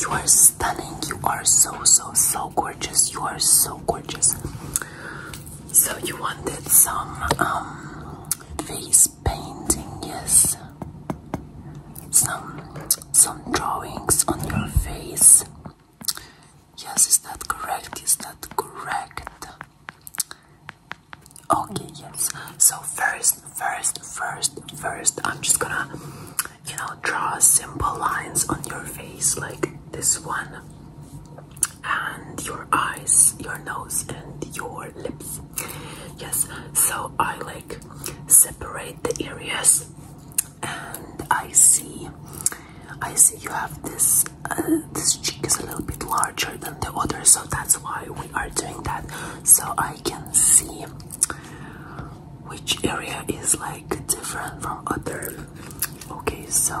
You are stunning. You are so, so, so gorgeous. You are so gorgeous. So, you wanted some um, face painting, yes? Some, some drawings on your face. Yes, is that correct? Is that correct? Okay, yes. So first, first, first, first, I'm just gonna, you know, draw simple lines on your face like this one, and your eyes, your nose, and your lips. Yes. So I like separate the areas, and I see, I see you have this. Uh, this cheek is a little bit larger than the other, so that's why we are doing that. So I can see which area is like different from other. Okay, so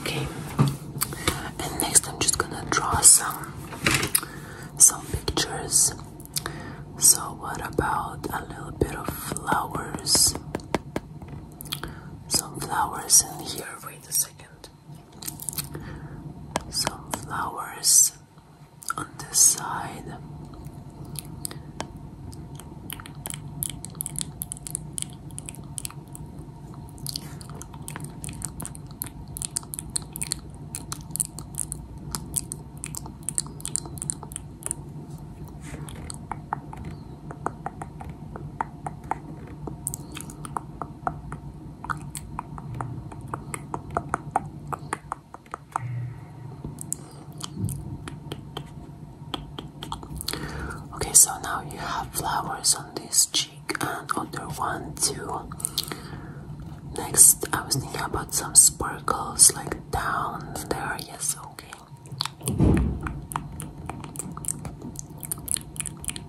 Okay, and next I'm just gonna draw some some pictures. So what about a little bit of flowers? Some flowers in here. Wait a second some flowers on this side. Okay, so now you have flowers on this cheek and other one too. Next, I was thinking about some sparkles like down there. Yes, okay.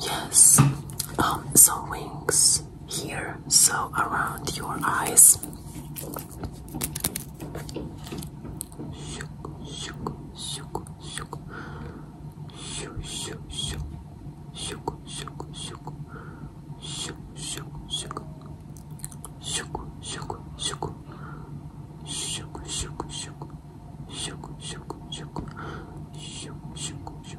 Yes. Um, some wings here, so around your eyes. Shook, shook, shook, shook. Shook, shook, shook. Shook, shook, shook. Shook, shook, shook. Shook, shook, shook. Shook, shook, shook. Shook, shook, shook. Shook, shook, shook.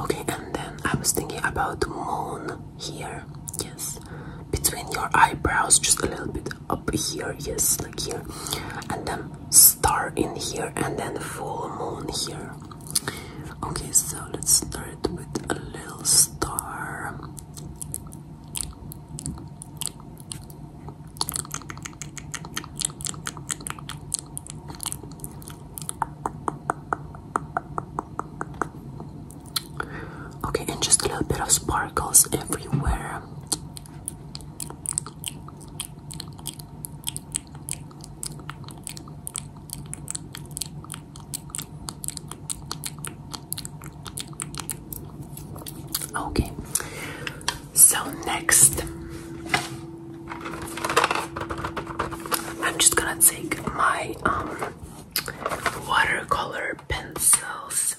Okay, and then I was thinking about the moon here, yes, between your eyebrows, just a little bit up here yes like here and then star in here and then full moon here okay so let's start with a little star Okay, and just a little bit of sparkles everywhere. Okay, so next, I'm just gonna take my um, watercolor pencils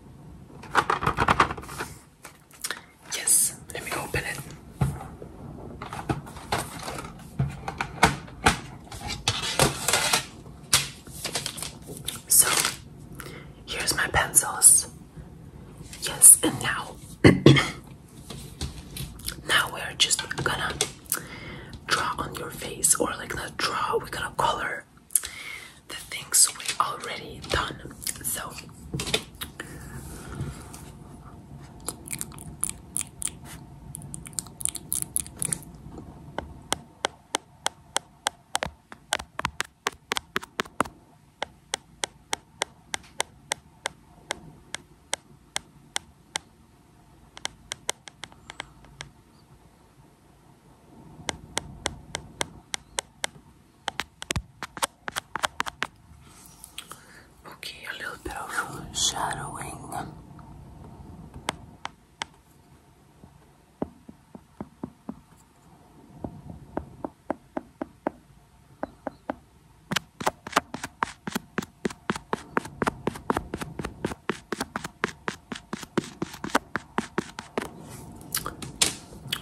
Yes, let me open it. So, here's my pencils. Yes, and now, now we're just gonna draw on your face, or like not draw, we're gonna color the things we already done. So Okay, a little bit of shadowing.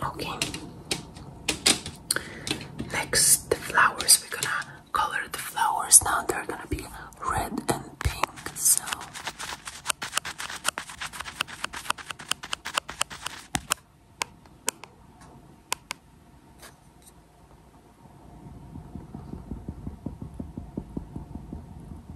Okay. Next, the flowers. We're gonna color the flowers now. They're gonna be red and pink. So.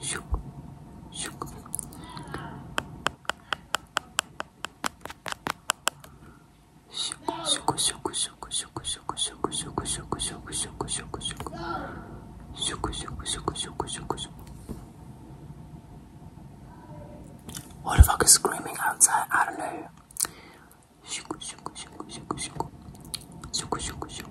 Shook, shook. Shook, shook, shook, shook, shook, shook, shook, shook, shook, shook, shook, shook. Shook, shook, shook, shook, shook, shook. What the fuck is screaming outside? I don't know. Shook, shook, shook, shook, shook. Shook, shook, shook.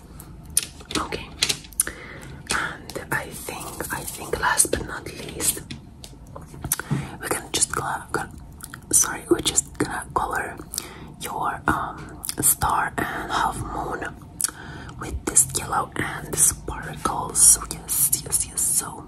Okay. And I think, I think last but not least, we're gonna just go, go sorry, we're just gonna color your um, star and half moon with this yellow and sparkles. Yes, yes, yes. So.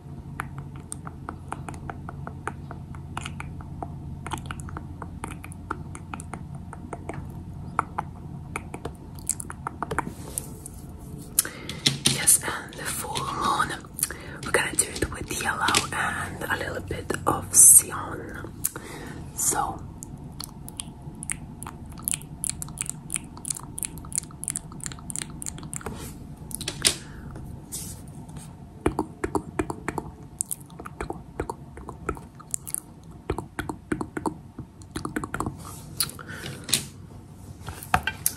Yes, and the moon. We're gonna do it with yellow and a little bit of sion. So.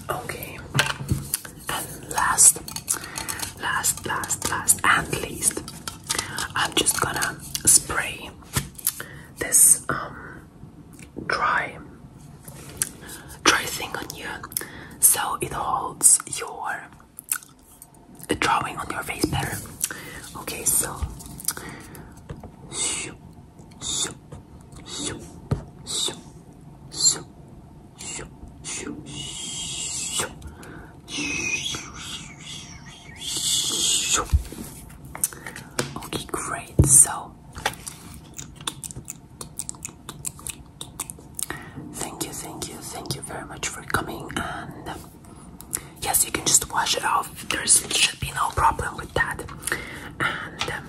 Okay, and last, last, last, last, and least, I'm just gonna spray this um, dry Try thing on you so it holds your drawing on your face better. Okay, so shoop, shoop, shoop, shoop, shoop, shoop, shoop, shoop, shoop. Okay, great. So Thank you, thank you, thank you very much for coming. And um, yes, you can just wash it off. There should be no problem with that. And um,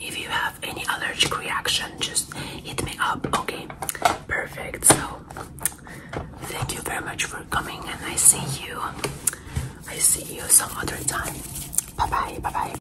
if you have any allergic reaction, just hit me up. Okay, perfect. So thank you very much for coming, and I see you. I see you some other time. Bye bye. Bye bye.